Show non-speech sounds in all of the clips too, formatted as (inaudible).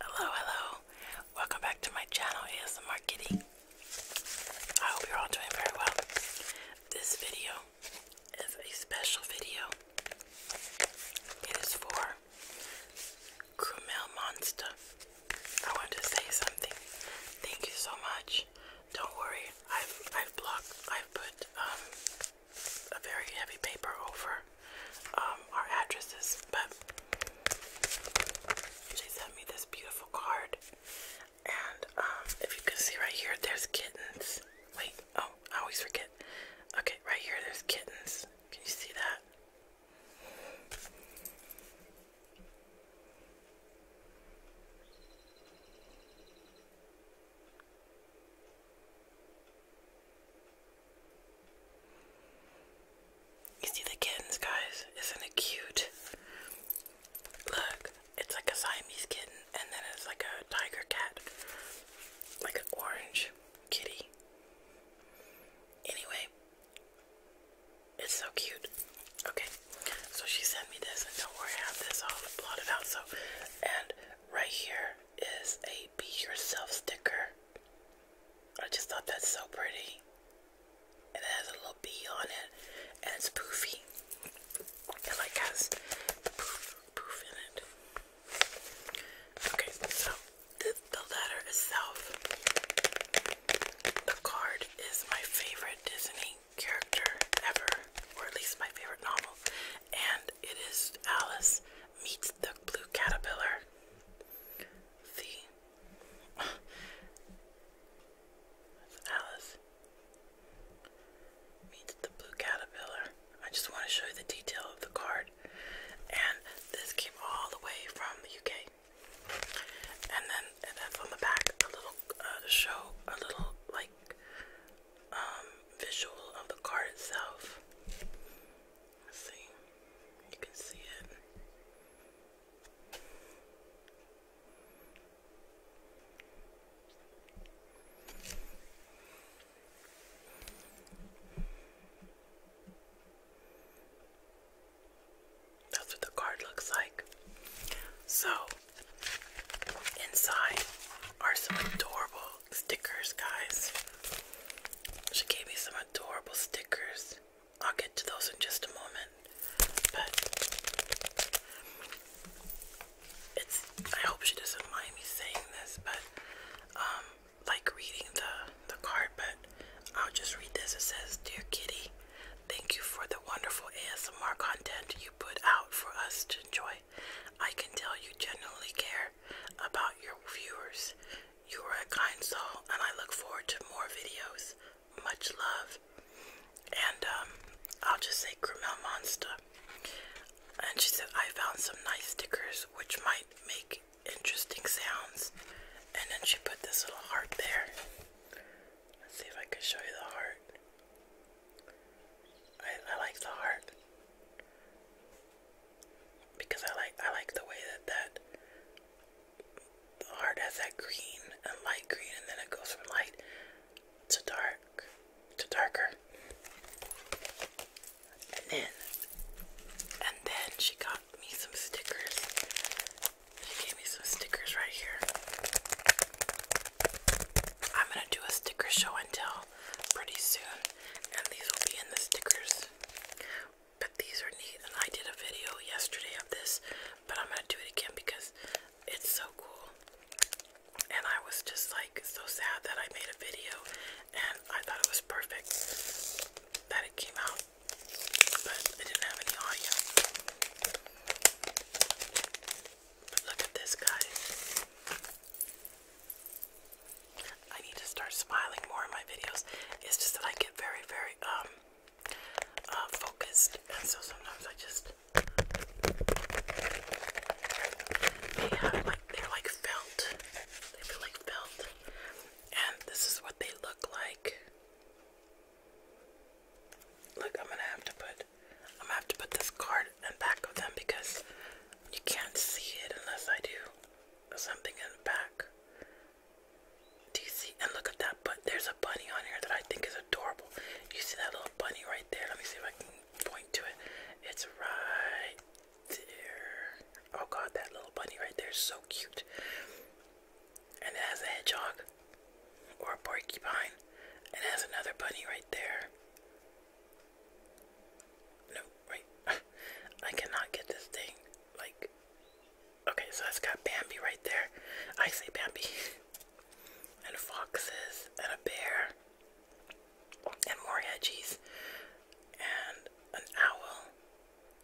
Hello, hello. Welcome back to my channel, ASMR Kitty. I hope you're all doing very well. This video is a special video. It is for Krumel Monster. I want to say something. Thank you so much. Don't worry. I've I've blocked. I've put um, a very heavy paper over um, our addresses, but she sent me this beautiful card. And um, if you can see right here, there's kittens. Wait, oh, I always forget. Okay, right here, there's kittens. Can you see that? You see the kittens, guys? Isn't it cute? Look, it's like a Siamese kitten, and then it's like a tiger cat, like an orange kitty. Anyway, it's so cute. Okay, so she sent me this, and don't worry, I have this all plotted out. So, and right here is a Be Yourself sticker. I just thought that's so pretty. And it has a little bee on it. And it's poofy. It like has the poof, poof in it. Okay, so the, the letter itself. The card is my favorite Disney character ever. Or at least my favorite novel. And it is Alice meets the blue caterpillar. The Alice meets the blue caterpillar. I just want to show you the detail of the card. And this came all the way from the UK. And then, and then from the back, a little uh, show, a little like um, visual of the card itself. see, you can see it. That's what the card looks like. So, inside are some adorable stickers, guys. She gave me some adorable stickers. I'll get to those in just a moment. But it's I hope she doesn't mind me saying this, but um, like reading the the card, but I'll just read this. It says, Dear Kitty, thank you for the wonderful ASMR content you put out for us to enjoy. I can tell you genuinely care about your viewers. You are a kind soul, and I look forward to more videos. Much love. And um, I'll just say Grimel Monster. And she said, I found some nice stickers which might make interesting sounds. And then she put this little heart there. Let's see if I can show you the heart. I, like the heart because I like I like the way that that the heart has that green and light green, and then it goes from light to dark to darker, and then and then she got me some stickers. She gave me some stickers right here. I'm gonna do a sticker show and tell pretty soon, and these will be in the stickers. But these are neat, and I did a video yesterday of this, but I'm gonna do it again because it's so cool. And I was just like so sad that I made a video, and I thought it was perfect that it came out, but I didn't have any audio. look at this, guys. I need to start smiling more in my videos. It's just that I get very, very um uh, focused, and so sometimes I just they have like they're like felt. They feel like felt, and this is what they look like. Look, I'm gonna have to put I'm gonna have to put this card and back of them because you can't see it unless I do something in back. Do you see? And look at that but There's a bunny on here that I think is adorable. You see that little bunny right there? Let me see if I can point to it. It's right there. Oh god, that little bunny right there is so cute. And it has a hedgehog or a porcupine. And it has another bunny right there. No, wait. (laughs) I cannot get this thing. Like, okay, so it's got Bambi right there. I say Bambi. (laughs) and foxes, and a bear, and more hedgies, and an owl,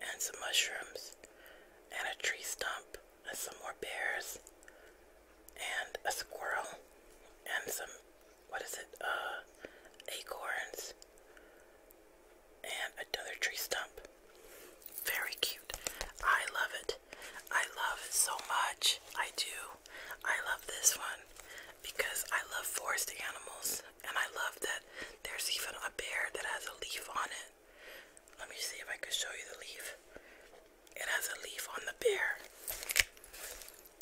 and some mushrooms, and a tree stump, and some more bears, and a squirrel, and some what is it? Uh, acorns and another tree stump. Very cute. I love it. I love it so much. I do. I love this one because I love forest animals and I love that there's even a bear that has a leaf on it. Let me see if I can show you the leaf. It has a leaf on the bear.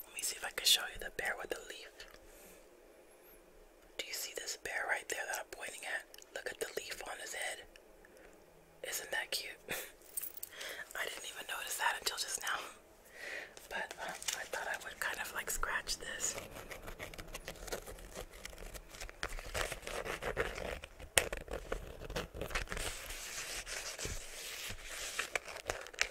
Let me see if I can show you the bear with the leaf. Do you see this bear right there that I'm pointing at? Look at the leaf on his head. Isn't that cute? (laughs) I didn't even notice that until just now. But um, I thought I would kind of like scratch this.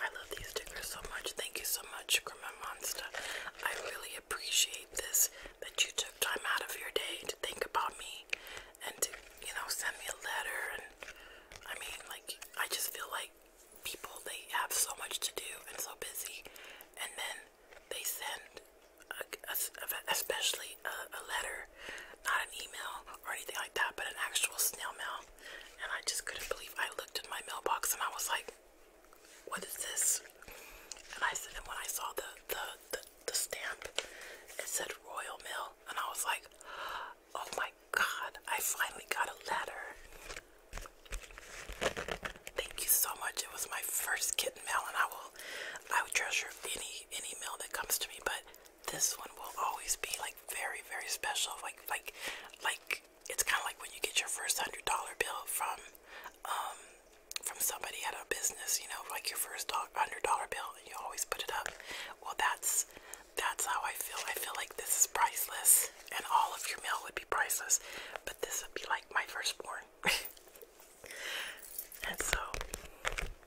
I love these stickers so much. Thank you so much, Grandma Monster. I really appreciate this that you took time out of your day to think about me and to, you know, send me a letter. And I mean, like, I just feel like people they have so much to do and so busy, and then they send, a, especially a, a letter, not an email or anything like that, but an actual snail mail. And I just couldn't believe I looked in my mailbox and I was like, what is this? And I said, and when I saw the, the, the, stamp, it said Royal Mail. And I was like, oh my God, I finally got a letter. Thank you so much. It was my first kitten mail and I will, I would treasure any, any mail that comes to me, but this one will always be like very, very special. Like, like, like it's kind of like when you get your first hundred dollar bill from um, from somebody at a business, you know, like your first hundred dollar bill, and you always put it up. Well, that's that's how I feel. I feel like this is priceless, and all of your mail would be priceless, but this would be like my firstborn. (laughs) and so,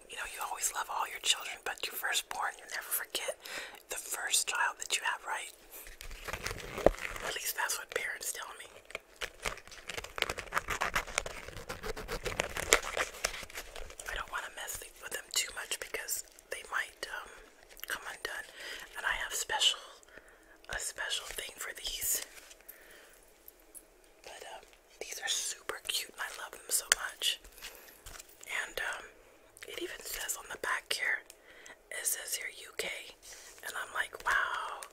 you know, you always love all your children, but your firstborn, you never forget the first child that you have, right? At least that's what parents tell me. I don't want to mess with them too much because they might um, come undone. And I have special, a special thing for these. But um, these are super cute I love them so much. And um, it even says on the back here it says here UK, and I'm like, wow,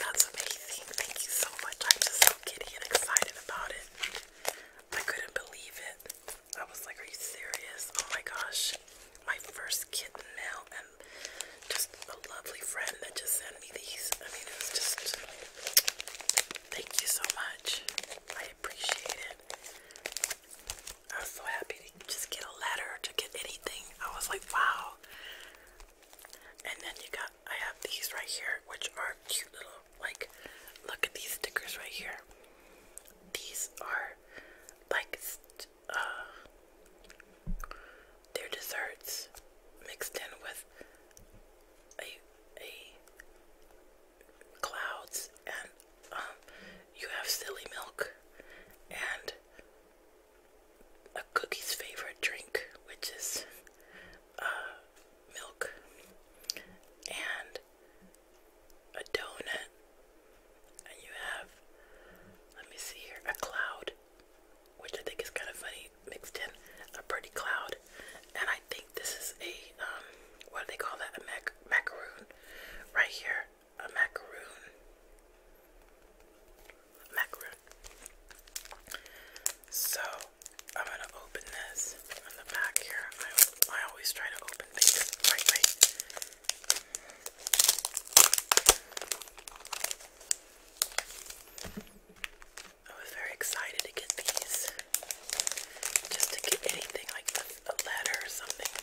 that's amazing. Thank you so much. I'm just so giddy and excited about it. I couldn't believe it. I was like, are you serious? Oh my gosh. My first kitten mail and just a lovely friend that just sent me these. I mean, it was just, thank you so much. I appreciate it. I was so happy to just get a letter, to get anything. I was like, wow. And then you got, I have these right here, which are cute little, like, look at these stickers right here. These are, like, uh, they're desserts mixed in with a, a clouds and um, you have silly milk and a cookie's favorite drink, which is uh, milk and a donut, and you have let me see here a cloud, which I think is kind of funny mixed in a pretty cloud, and I think this is a um, what do they call that a macaroon Right here, a macaroon. Macaroon. So I'm gonna open this on the back here. I, always try to open things right way. I was very excited to get these. Just to get anything like a letter or something.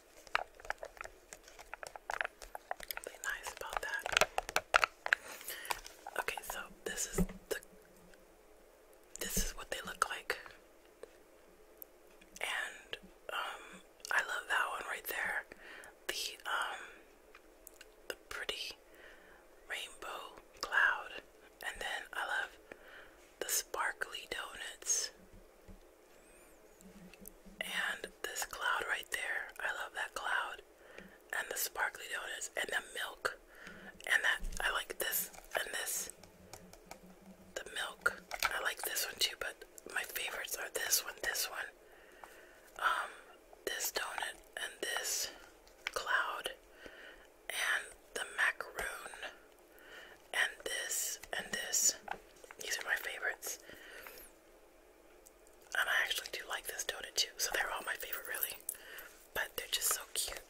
Be nice about that. Okay, so this is the this is what they look like. And um I love that one right there. The um the pretty rainbow cloud. And then I love the sparkly donuts. And this cloud right there, I love that cloud. And the sparkly donuts and the milk. And that I like this and this. The milk. I like this one too, but my favorites are this one, this one. Um, this donut and this cloud and the macaroon and this and this. These are my favorites. And I actually do like this donut too, so they're all my favorite really. But they're just so cute.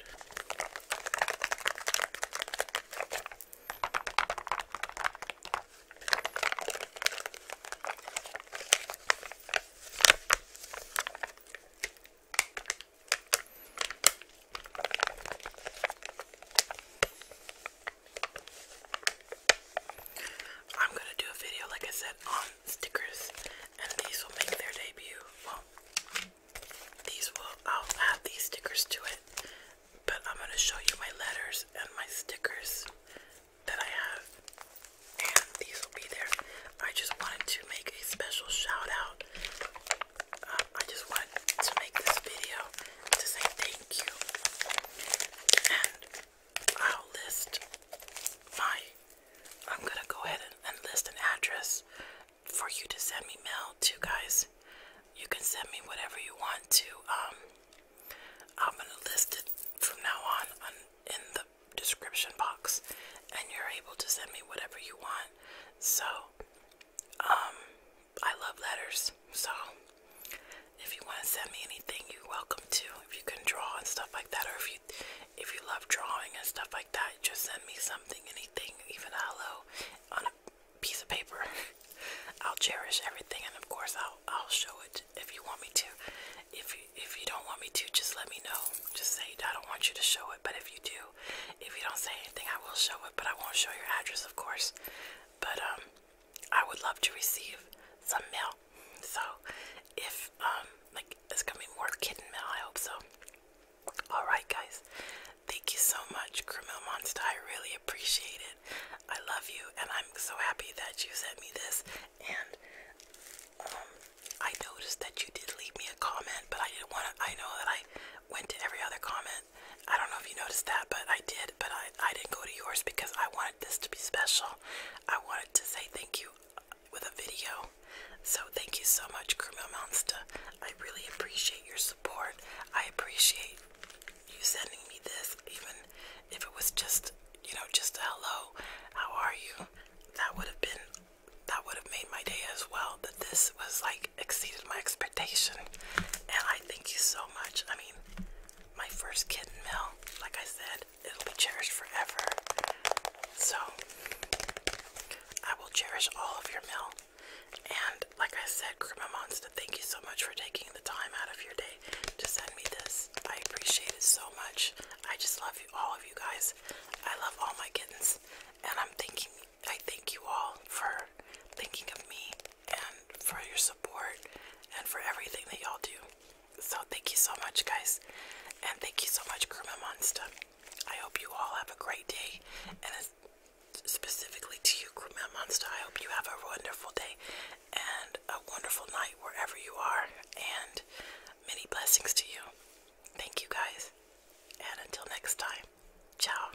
I'm gonna do a video, like I said, on stickers, and these will make their debut. Well, these will, I'll add these stickers to it, but I'm gonna show you my letters and my stickers that I have, and these will be there. I just wanted to make a special shout out. Um, I just wanted to make this video to say thank you and I'll list my, I'm going to go ahead and, and list an address for you to send me mail to, guys. You can send me whatever you want to. Um, I'm going to list it from now on, on in the description box, and you're able to send me whatever you want. So, um, I love letters, so if you want to send me anything, you're welcome to. If you can draw and stuff like that, or if you if you love drawing and stuff like that, just send me something, anything, even a hello on a piece of paper. (laughs) I'll cherish everything, and of course, I'll I'll show it if you want me to. If if you don't want me to, just let me know. Just say I don't want you to show it, but if you do, if you don't say anything, I will show it. But I won't show your address, of course. But um, I would love to receive some mail. So, if um, like it's gonna be more kitten mail, I hope so. All right, guys, thank you so much, Criminal Monster. I really appreciate it. I love you, and I'm so happy that you sent me this. And um, I noticed that you did leave me a comment, but I didn't want to. I know that I went to every other comment. I don't know if you noticed that, but I did. But I, I didn't go to yours because I wanted this to be special. I wanted to say thank you uh, with a video. So thank you so much, Krumel Monster. I really appreciate your support. I appreciate you sending me this, even if it was just, you know, just a hello, how are you? That would have been, that would have made my day as well. That this was like exceeded my expectation, and I thank you so much. I mean, my first kitten meal, like I said, it'll be cherished forever. So, I will cherish all of your meal. And, like I said, Grandma Monster, thank you so much for taking the time out of your day to send me this. I appreciate it so much. I just love you, all of you guys. I love all my kittens, and I'm thinking I thank you all for thinking of me and for your support and for everything that y'all do. So, thank you so much, guys. And thank you so much, Kruma Monster. I hope you all have a great day. And specifically to you, Kruma Monster, I hope you have a wonderful day and a wonderful night wherever you are. And many blessings to you. Thank you, guys. And until next time, ciao.